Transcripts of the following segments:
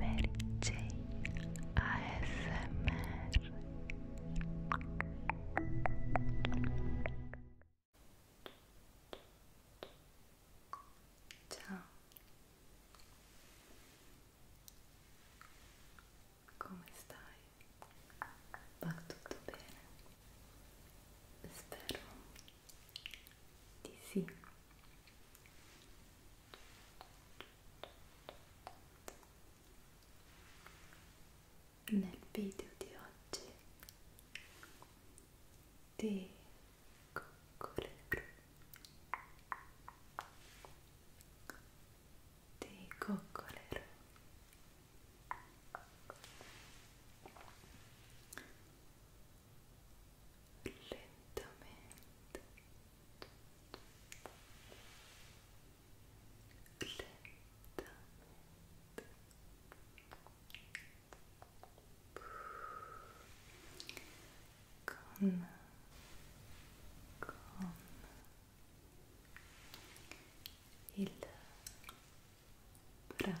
Mary J ASMR Ciao Come stai? Va tutto bene? Spero di sì nel video di oggi ti coccolerò ti coccolerò lentamente lentamente con con il brushing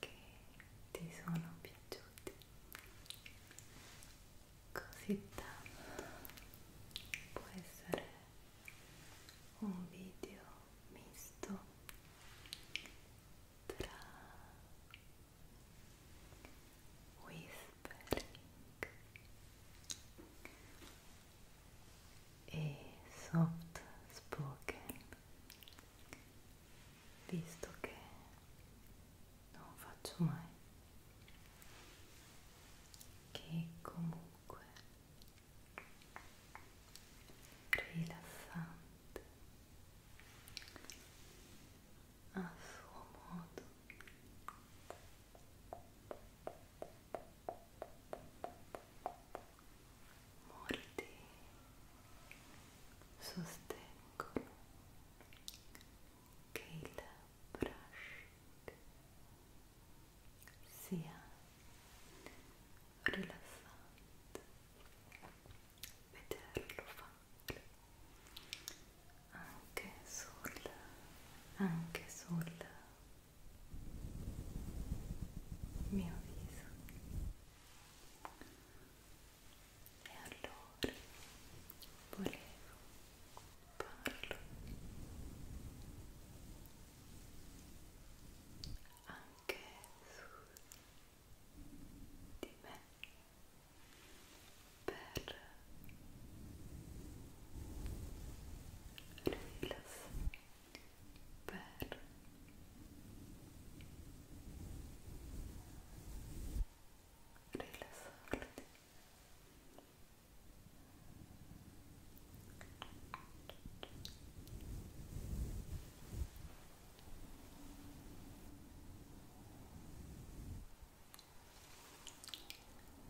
che ti sono piaciuti così tanto può essere un video misto tra whispering e soft spoken visto che non faccio mai che comunque rilassante a suo modo molti sostengono che il brushing sia rilassante vederlo fare anche sul anche sul mio viso e allora volevo farlo anche su di me per rilassarmi per rilassarti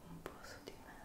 un po' su di me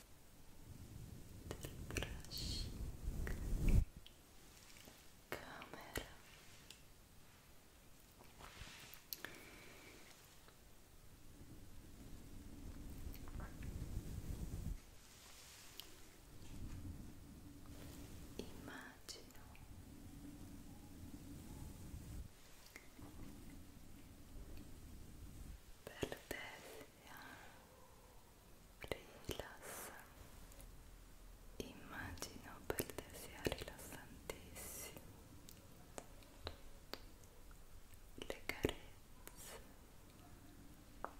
del brushing camera immagino per te Rilassa. Immagino per te sia rilassantissimo. Le carezze. Rilassati.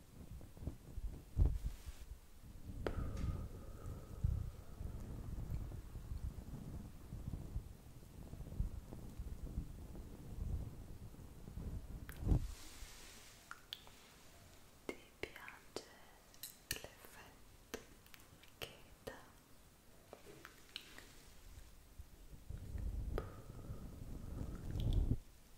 Ti piace l'effetto che dà?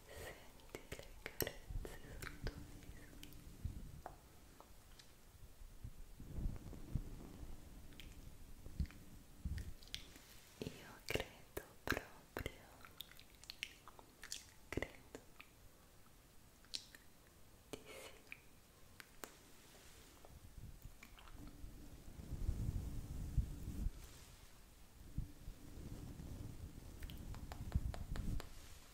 senti le carezze sul tuo viso io credo proprio credo di sì Ora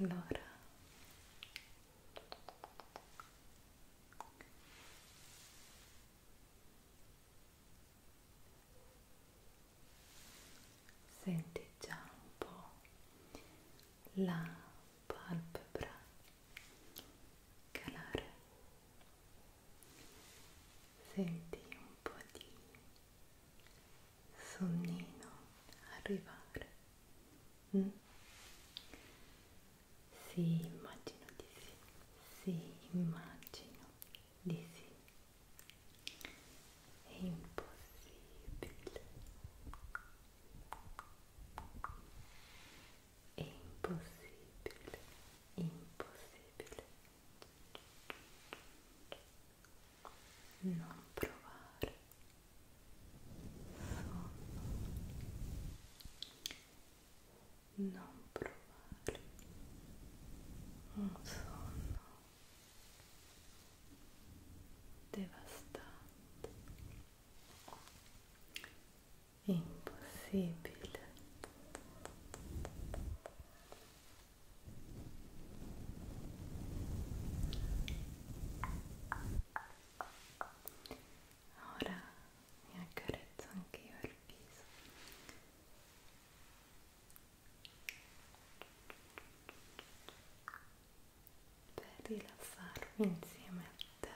Allora senti già un po' la palpebra calare senti un po' di sonnino arrivare mm? sì immagino di sì sì immagino di sì è impossibile è impossibile, impossibile non provare sonno, non provare un sonno devastante impossibile ora mi accarezzo anch'io il viso per rilassarmi insieme a te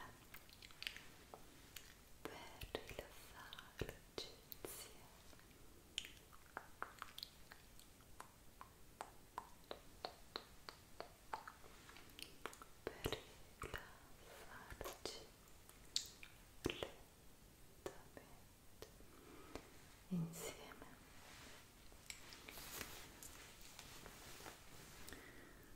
per rilassarci insieme per rilassarci lentamente insieme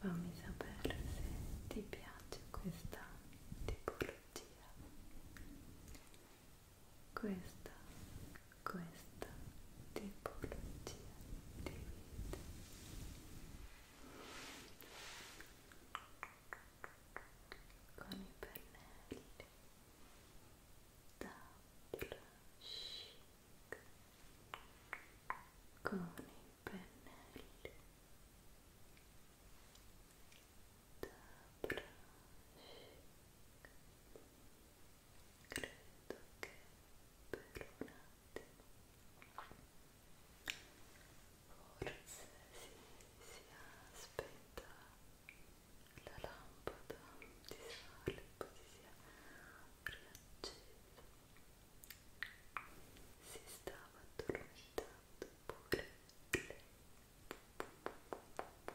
fammi sapere se ti piace questa tipologia questa questa tipologia di vita con i pennelli da plush con i pennelli da plush credo che per un forse si, si aspetta la lampada di sale così sia riaccesa si stava addormentando pure lei Buonanotte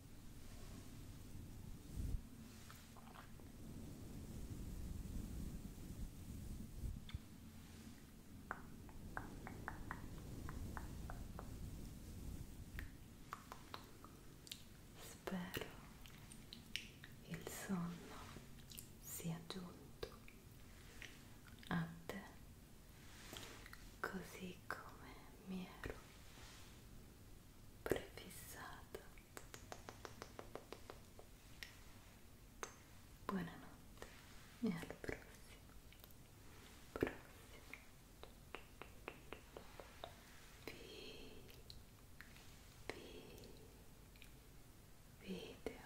Spero il sonno sia giunto a te così come mi ero prefissata. Buonanotte e al prossimo. prossimo. Vi, video.